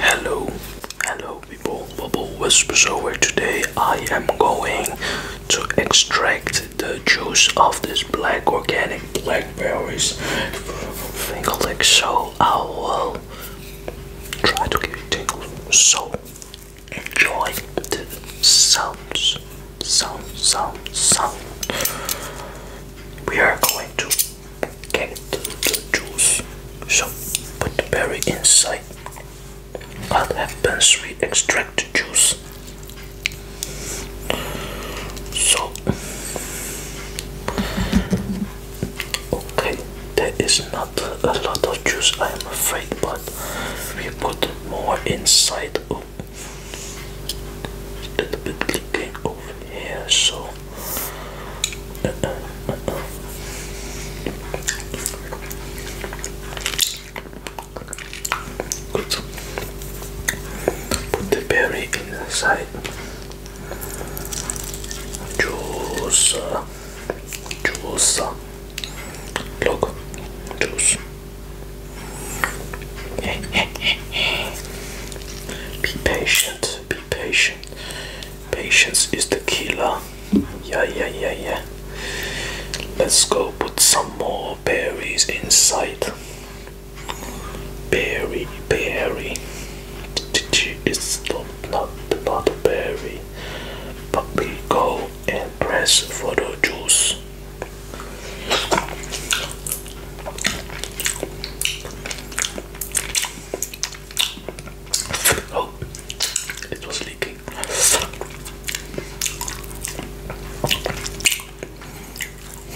Hello, hello people, Bubble Whisperer today I am going to extract the juice of these black organic blackberries tingling so I will try to give you tingles so enjoy the sounds sound sound sound we are going to get the juice so put the berry inside I'll We extract the juice so okay there is not a lot of juice I am afraid but we put more inside oh, a little bit leaking over here so Put the berry inside. Juice, juice. Look, juice. Be patient. Be patient. Patience is the killer. Yeah, yeah, yeah, yeah. Let's go put some more berries inside. Berry, berry. It's not about the berry, but we go and press for the juice. Oh, it was leaking.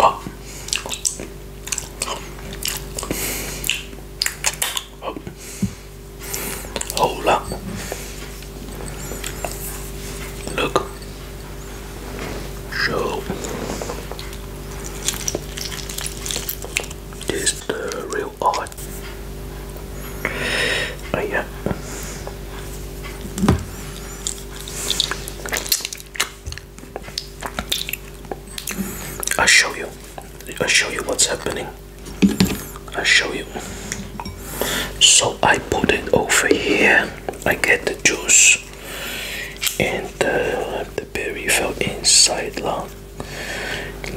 Ah. Oh. Hold up. Look. So this the real art. Oh yeah. i show you. i show you what's happening. i show you. So I put it over here. I get the juice and uh, the berry fell inside lung.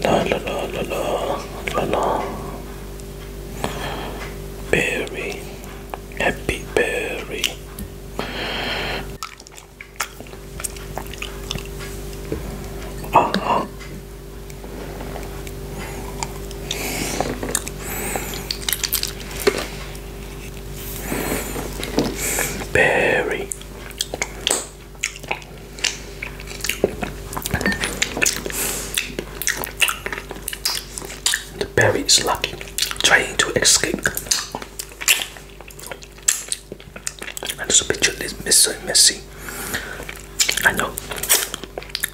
La la la la la Berry, happy berry. Uh uh-huh. Berry. The berry is lucky, trying to escape. And this picture is messy, messy. I know.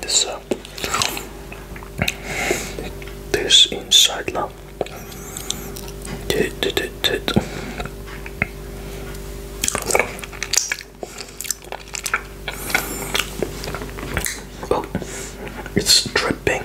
This uh, this inside now. Did, did, did. Oh, it's dripping.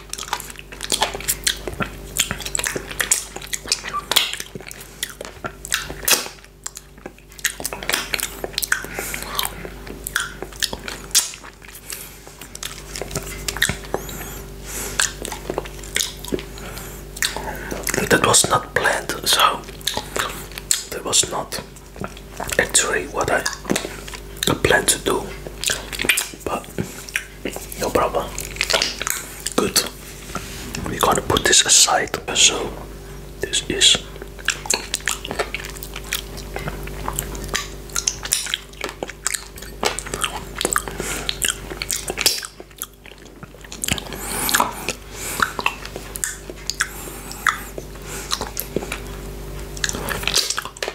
That was not planned, so that was not actually what I planned to do, but no problem good we got to put this aside so this is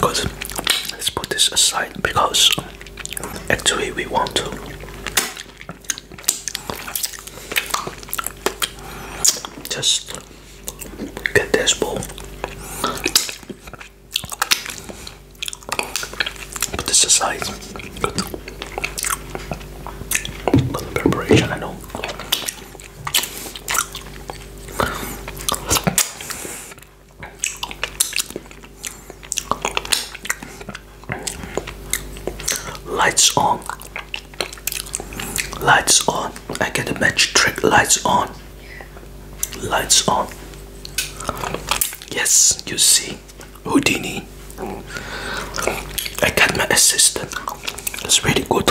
Good. Let's put this aside because actually we want to just get this ball. Put this aside, good. Little preparation, I know. Lights on. Lights on. I get the magic trick. Lights on. Lights on. Yes, you see. Houdini. I got my assistant. It's really good.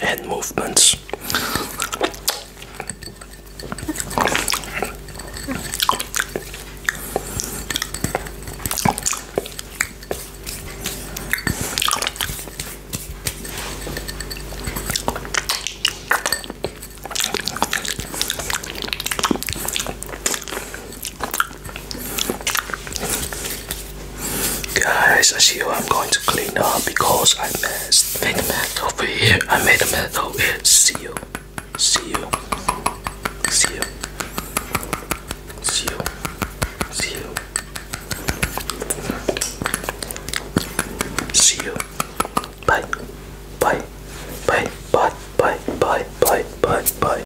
hand movements. Guys, as you, I'm going to clean up because I messed. Made a mess over here. I made a mess over here. See you. See you. See you. See you. See you. See you. Bye. Bye. Bye. Bye. Bye. Bye. Bye. Bye. Bye.